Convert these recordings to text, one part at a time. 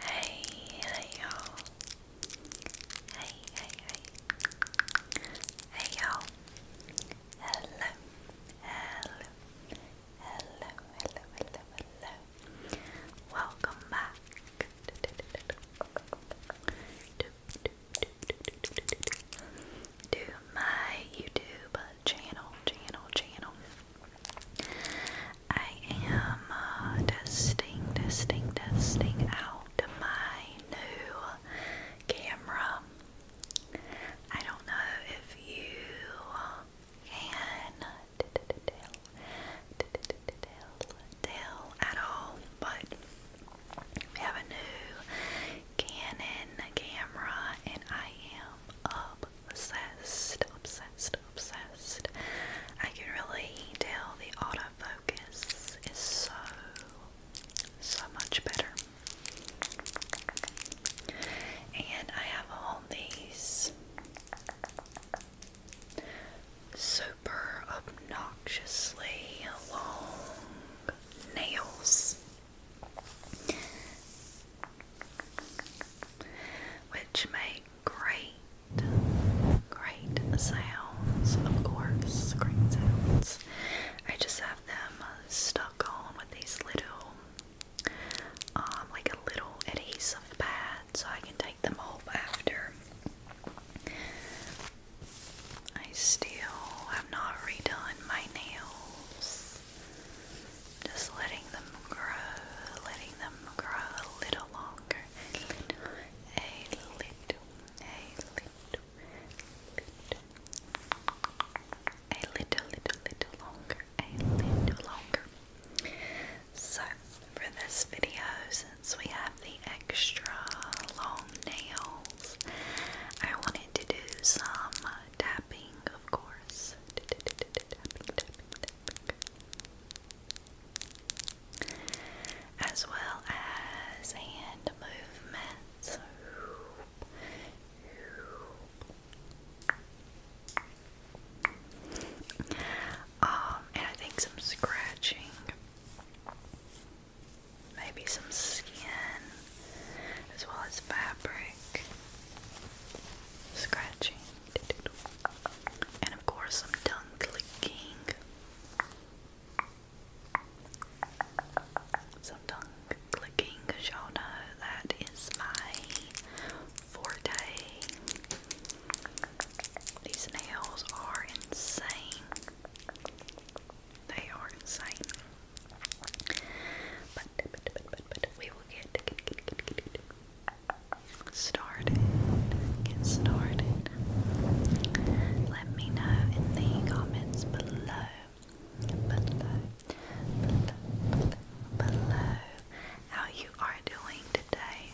Hey, hey y'all. Hey, hey, hey. Hey y'all. Hello. Hello. Hello, hello, hello, hello. Welcome back to my YouTube channel, channel, channel. I am testing, uh, testing, testing out my new camera. I don't know if you can tell at all, but we have a new Canon camera, and I am obsessed, obsessed, obsessed. I can really tell the autofocus is so, so much better. And I have all these super obnoxiously long nails which make great, great sounds, of course, screen sounds. I just have them stuck on with these little, um, like a little adhesive pads, so I can take them off after. I still have not redone my nails. Just letting them grow, letting them grow a little longer. A little, a little, a little, a little, little, little longer, a little longer. So, for this video, since we have the extra long nails, I wanted to do some uh, tapping, of course. As well as hand movements. Um, and I think some scratching maybe some skin as well as fabric scratching and of course some tongue clicking some tongue clicking y'all know that is my forte these nails are insane they are insane. But, we will get, started. Get started. Let me know in the comments Below, below, below, below how you are doing today.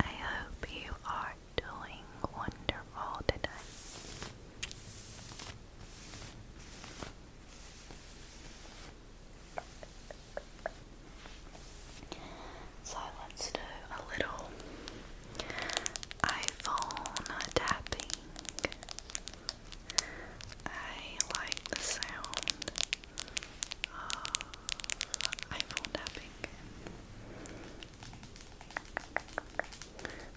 I hope you are doing wonderful today. So let's do a little iPhone tapping. I like the sound of iPhone tapping.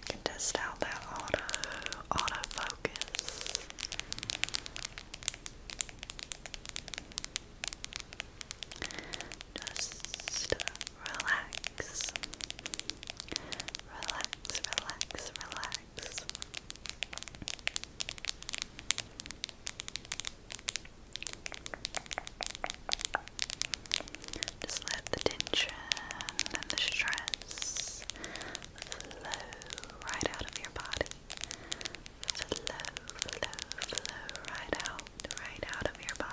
can test out that auto autofocus. Just relax, relax, relax, relax. Just let the tension and the stress flow right out of your body. Flow, flow, flow right out right out of your body.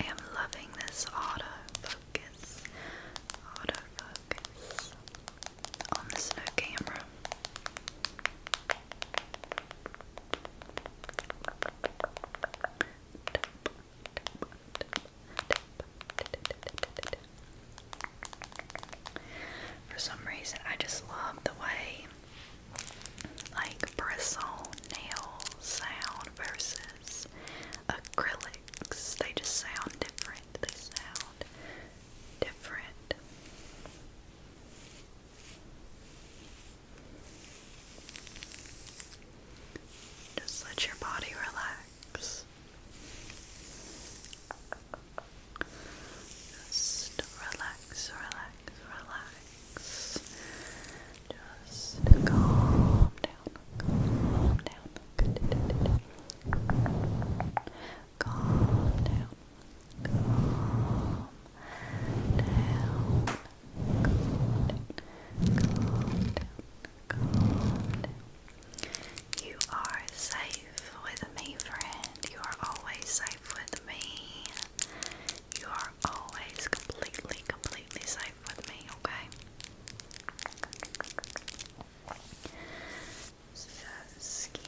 I am loving this auto focus, on the snow camera. For some reason, I just love the way like bristle nail sound versus acrylics. They just sound different. They sound different. Just let your body relax. Just relax, relax, relax. Just calm down, calm down, calm down, calm down, calm down, calm down. You are safe with me, friend. You are always safe with me. You are always completely, completely safe with me, okay? skin.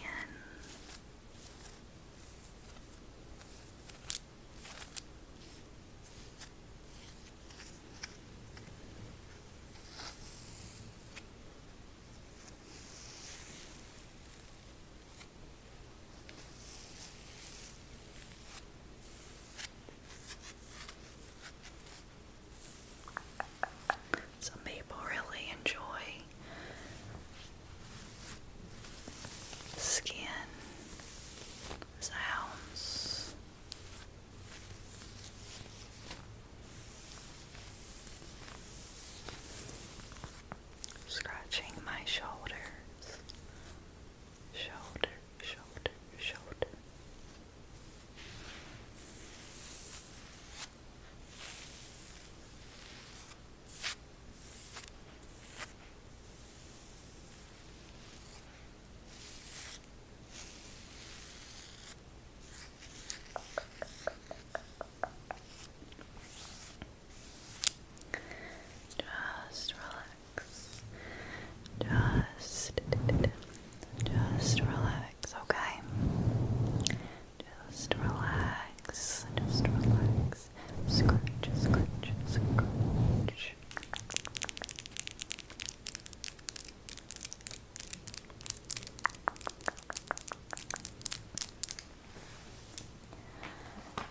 Some people really enjoy skin sounds scratching my shoulders, shoulder, shoulder, shoulder. Just relax. Just, just relax, okay? Just relax, just relax. Scratch, scratch, scratch.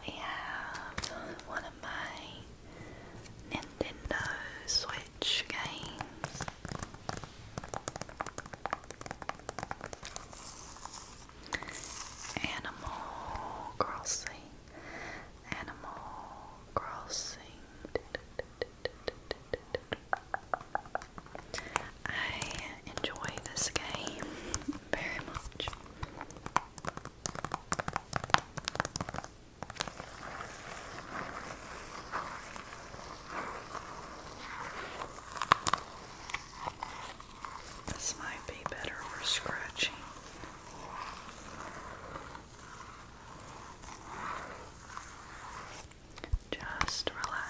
We have one of my Nintendo Switch games. Animal Crossing. Animal Crossing. I enjoy this game very much. This might be better for scratching. Just relax.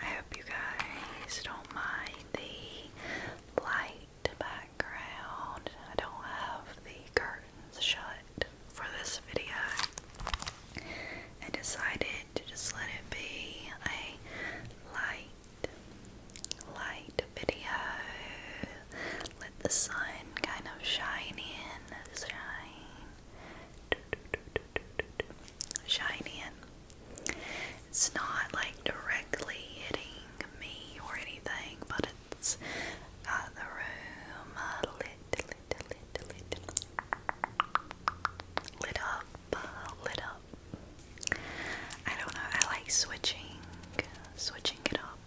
I hope you guys don't mind the light background. I don't have the curtains shut for this video. I decided to just let it be a light, light video. Let the sun kind of shine in, shine shiny It's not like directly hitting me or anything, but it's got uh, the room uh, lit, lit, lit, lit, lit up, uh, lit up. I don't know. I like switching, switching it up,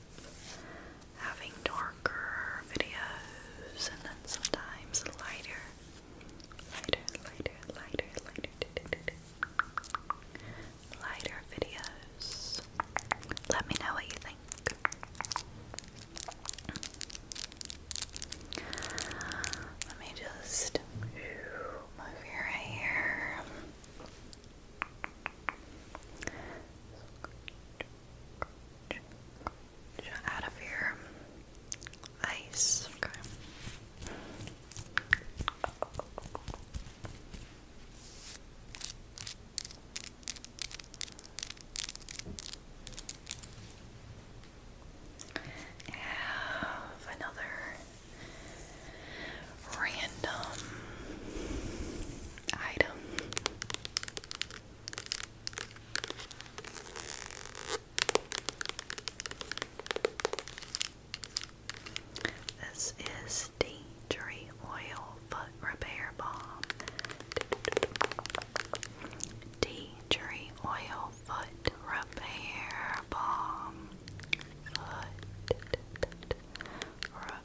having darker videos and then sometimes lighter lighter, lighter, lighter, lighter, lighter videos. Let me know what you think. Let me just move your hair out of your ice. Okay. I have another random item. This is the tree oil foot repair balm. Tea tree oil foot repair balm. Foot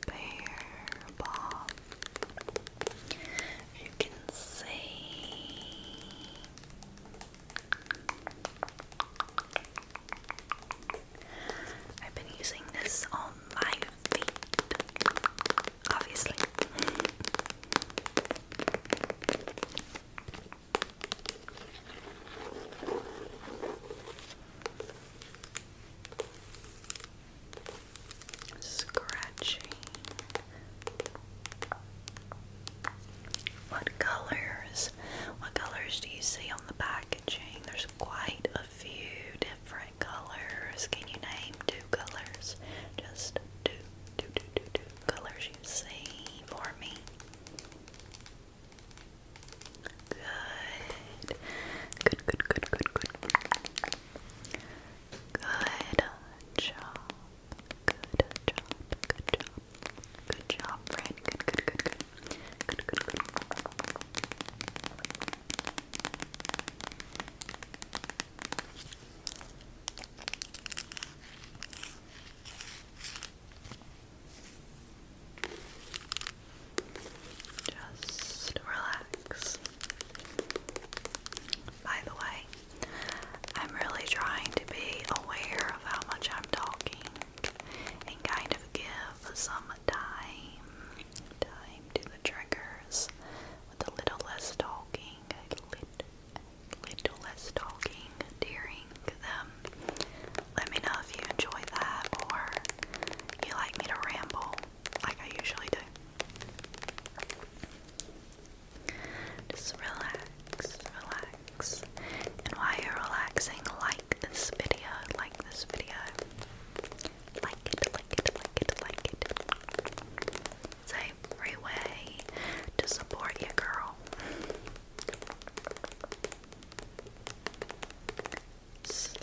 repair balm. You can see I've been using this on my feet, obviously. Scratchy. What colors? What colors do you see on the packaging? There's quite a few different colors. Can you name two colors? Just two, two, two, two, two colors you see for me. Good, good, good, good, good. Good job. Good job. Good job. Good job, friend. Good, good, good, good. Good, good, Just relax. By the way, I'm really trying to be aware of how much I'm talking and kind of give some time time to the triggers with a little less talking, a little, less talking during them. Let me know if you enjoy that or you like me to ramble like I usually do. Just relax, relax. And while you're relaxing, like this video, like this video. Like it, like it, like it, like it. It's a free way to support your girl. Slow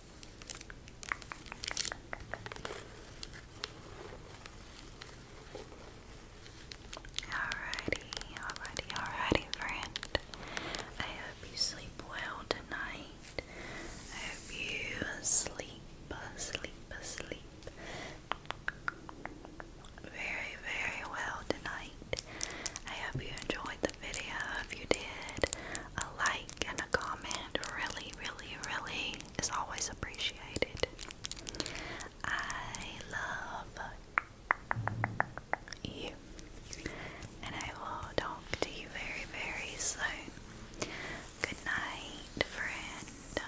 Alrighty, alrighty, alrighty, friend. I hope you sleep well tonight. I hope you sleep, sleep, sleep very, very well tonight. I hope you enjoyed the video. If you did, a like and a comment really, really, really is always appreciated. I love you, and I will talk to you very, very soon. Good night, friend.